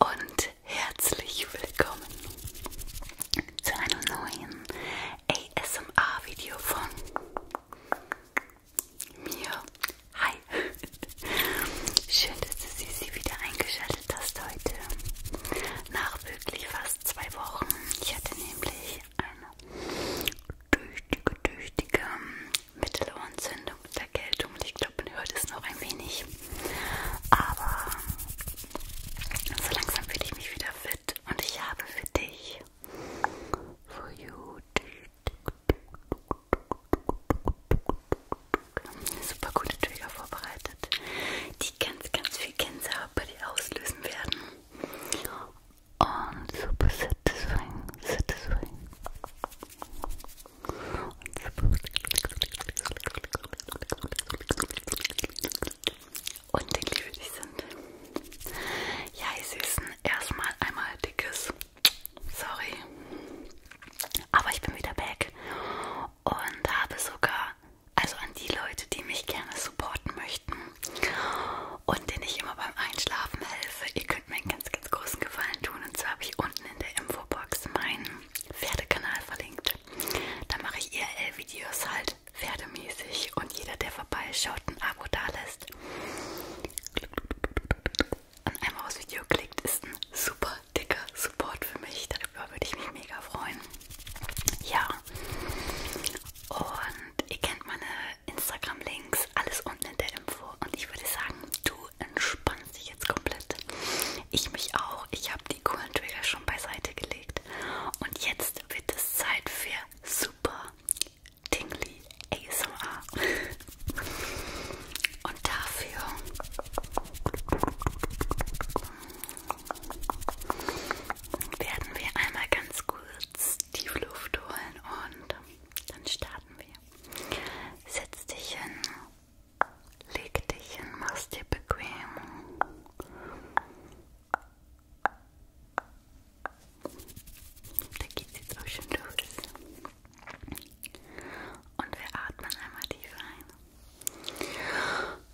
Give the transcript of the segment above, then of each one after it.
Und herzlich willkommen zu einem neuen ASMR-Video von mir. Hi! Schön, dass du sie wieder eingeschaltet hast heute. Nach wirklich fast fast zwei Wochen. Ich hatte nämlich eine tüchtige, tüchtige Mittelohrentzündung und Erkältung. Ich glaube, man hört es noch ein wenig. Aber so langsam fühle ich mich wieder fit und ich habe für dich for you eine super gute Trigger vorbereitet geöffnet, die ganz, ganz viel Gänsehaut bei dir auslösen werden. Und super satisfying, satisfying. Und super. Und dick für dich sind. Ja, ihr Süßen, erstmal einmal dickes. Sorry. Aber ich bin wieder back und habe sogar, also an die Leute, die mich gerne supporten möchten und denen ich immer beim Einschlafen helfe, ihr könnt mir einen ganz, ganz großen Gefallen tun. Und zwar habe ich unten in der Infobox meinen Pferdekanal verlinkt. Da mache ich IRL-Videos halt pferdemäßig und jeder, der vorbeischaut, ein Abo da lässt und einmal aufs Video klickt, ist ein super dicker Support für mich. Darüber würde ich mich mega freuen ja. Und ihr kennt meine Instagram-Links, alles unten in der Info. Und ich würde sagen, du entspannst dich jetzt komplett. Ich mich auch. Ich habe die coolen Trigger schon beiseite gelegt. Und jetzt wird es Zeit für super tingly ASMR. Und dafür werden wir einmal ganz kurz tief Luft holen und dann starten wir. Setz dich hin, leg dich hin, mach's dir bequem. Da geht's jetzt auch schon los. Und wir atmen einmal tief ein.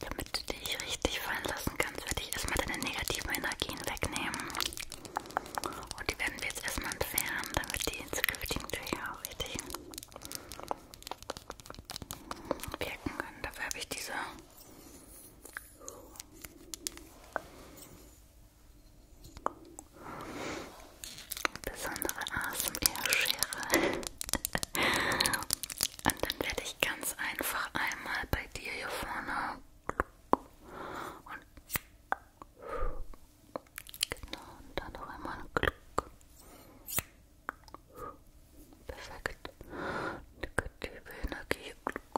Damit du dich richtig fallen lassen kannst, werde ich erstmal deine negativen Energien wegnehmen. Und die werden wir jetzt erstmal entfernen, damit die in zukünftigen Türen auch richtig wirken können. Dafür habe ich diese Besondere ASMR-Schere. Und dann werde ich ganz einfach einmal bei dir hier vorne und genau und dann noch einmal Glück. Perfekt. Die Energie.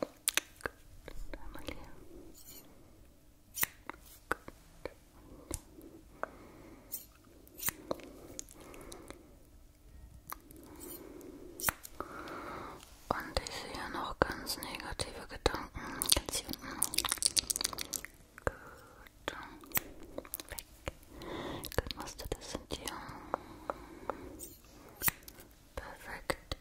Gut, einmal hier. Und ich sehe noch ganz negative Gedanken. Ganz hier unten. Gut. Weg. Gut, machst du das in dir. Perfekt.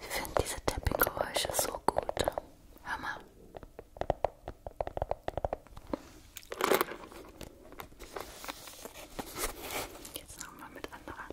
Ich finde diese Tapping-Geräusche so gut. Hör mal. Jetzt nochmal mit anderen.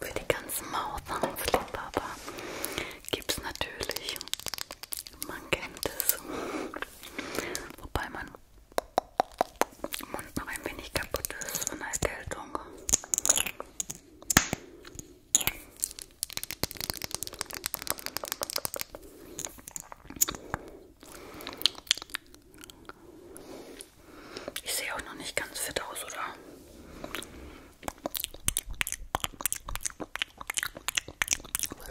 Für die ganzen Maushausliebhaber gibt es natürlich, man kennt es, wobei man im Mund noch ein wenig kaputt ist von Erkältung. Ich sehe auch noch nicht ganz fit aus, oder?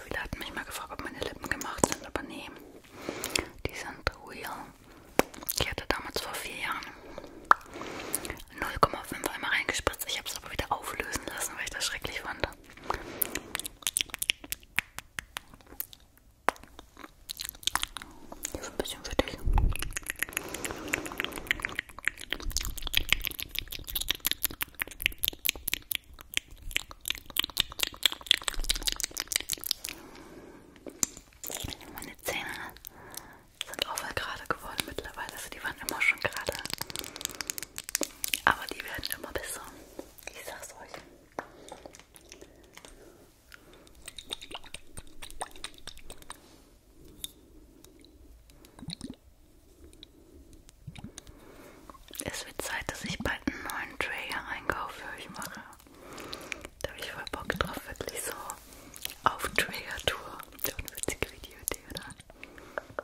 Viele hatten mich mal gefragt, ob meine Lippen gemacht sind, aber nee, die sind real. Ich hatte damals vor vier Jahren 0,5 einmal reingespritzt. Ich habe es aber wieder auflösen lassen, weil ich das schrecklich fand. Hier ist ein bisschen für dich. Meine Zähne sind auch voll gerade geworden mittlerweile. Also die waren immer schon gerade. Aber die werden immer besser. Ich sag's euch. Es wird Zeit, dass ich bald einen neuen Tray hier einkaufe für euch mache. Da habe ich voll Bock drauf, wirklich so auf Trayer-Tour. So eine witzige Videoidee, oder?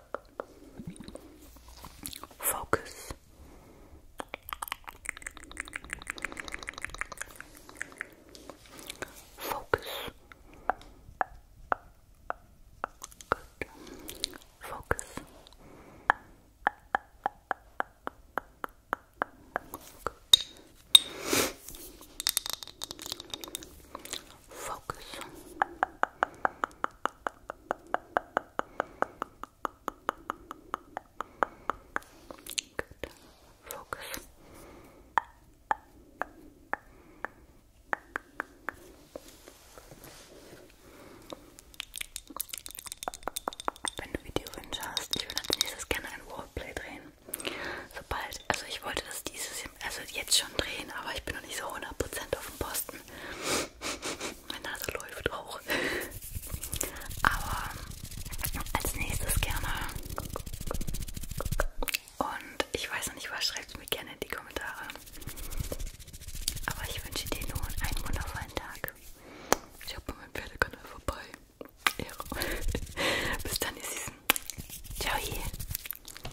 Focus. Focus. Good. Focus. Focus. Good. Focus. Wenn du Videowünsche hast, ich würde als nächstes gerne ein Roleplay drehen. Sobald, also ich wollte das dieses, also müsste jetzt schon drehen, aber ich bin noch nicht so 100% auf dem Posten. Meine Nase läuft auch. Aber als nächstes gerne. Und ich weiß noch nicht, was schreibt mir gerne in die Kommentare. Aber ich wünsche dir nun einen wundervollen Tag. Ich habe meinen Pferdekanal vorbei. Bis dann, ihr Süßen. Ciao.